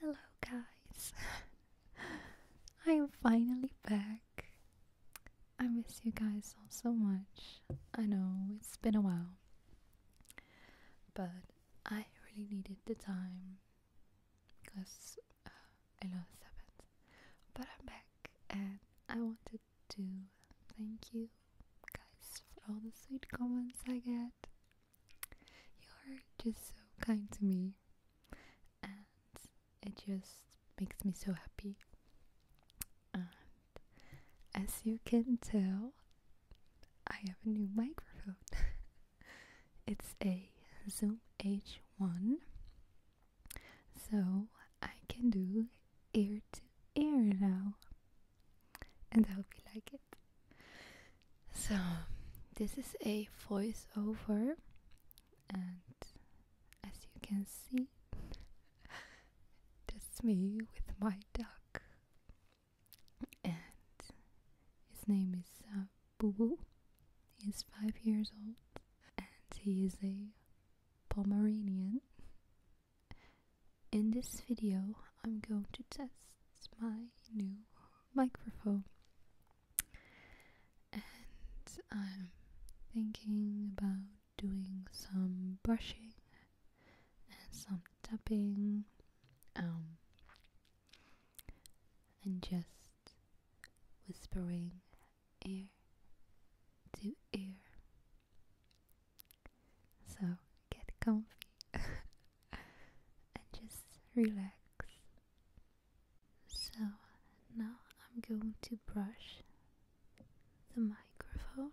Hello, guys. I am finally back. I miss you guys all so much. I know it's been a while, but I really needed the time because uh, I love Sabbath. But I'm back, and I wanted to thank you guys for all the sweet comments I get you're just so kind to me and it just makes me so happy. And as you can tell, I have a new microphone. it's a Zoom H1, so I can do ear to ear now, and I hope you like it. So, this is a voiceover, and as you can see, that's me with my duck, and his name is uh, Boo Boo. He's five years old, and he is a Pomeranian. In this video, I'm going to test it's my new microphone. And I'm thinking about doing some brushing and some tapping. Um, and just whispering ear to ear. So get comfy and just relax. So now I'm going to brush the microphone.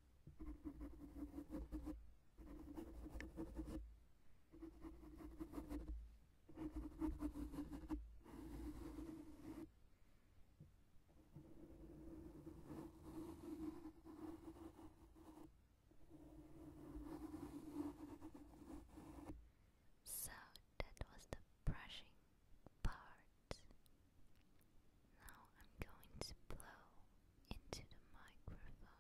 So that was the brushing part. Now I'm going to blow into the microphone.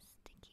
Sticky fingers.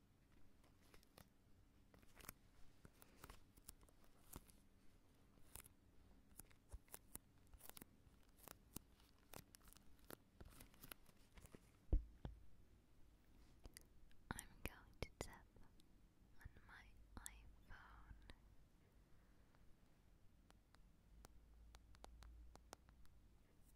I'm going to tap on my iPhone.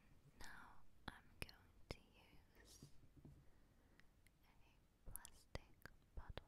And now I'm going to use a plastic bottle.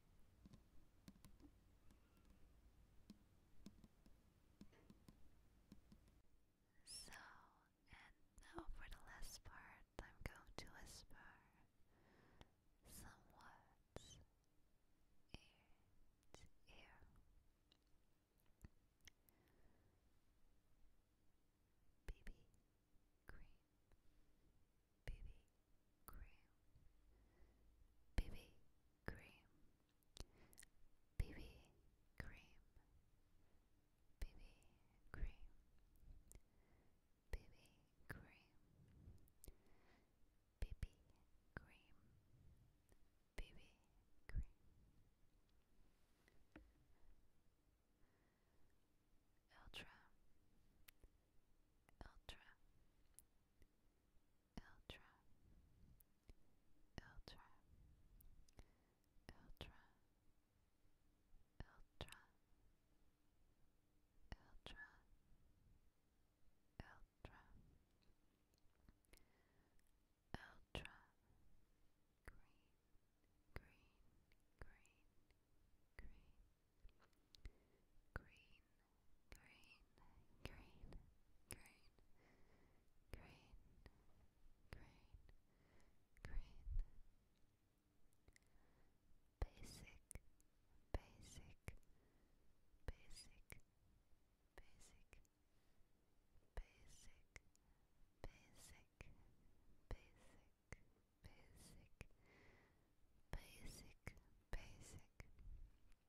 So, and now for the last part, I'm going to whisper some words ear to ear. BB cream, BB cream, BB cream, BB cream, BB cream, BB cream, BB cream. Ultra, ultra, ultra, ultra, ultra, ultra, ultra, ultra, ultra, green, green, green, green, green, green, green, green, green, green, green. Basic, basic, basic, basic, basic, basic, basic, basic, basic, basic.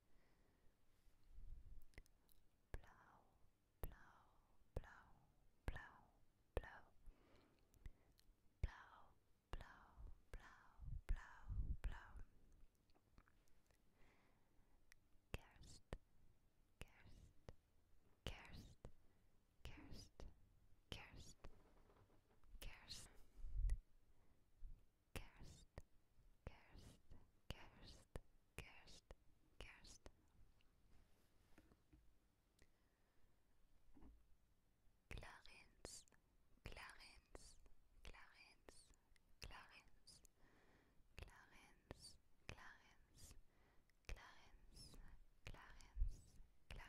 blow, blow, blow, blow, blow, blow, blow, blow, blau, blau. Gerst, gerst, gerst, gerst, gerst, gerst. Cursed, cursed, cursed, cursed, cursed. Clarence, Clarence, Clarence, Clarence, Clarence, Clarence, Clarence, Clarence, Clarence.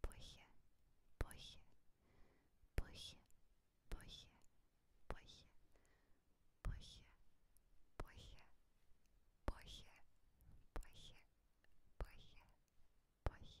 Brüche, Brüche, Brüche, Brüche, Brüche, Brüche, Brüche, Brüche, Brüche, Brüche, Brüche. Bunt, bunt, bunt, bunt,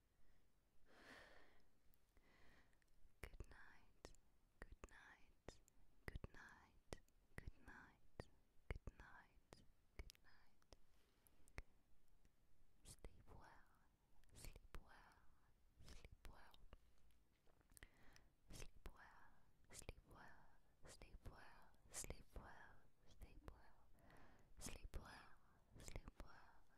Good night, good night, good night, good night, good night, good night. Sleep well, sleep well, sleep well. Sleep well, sleep well, sleep well, sleep well, sleep well, sleep well, sleep well,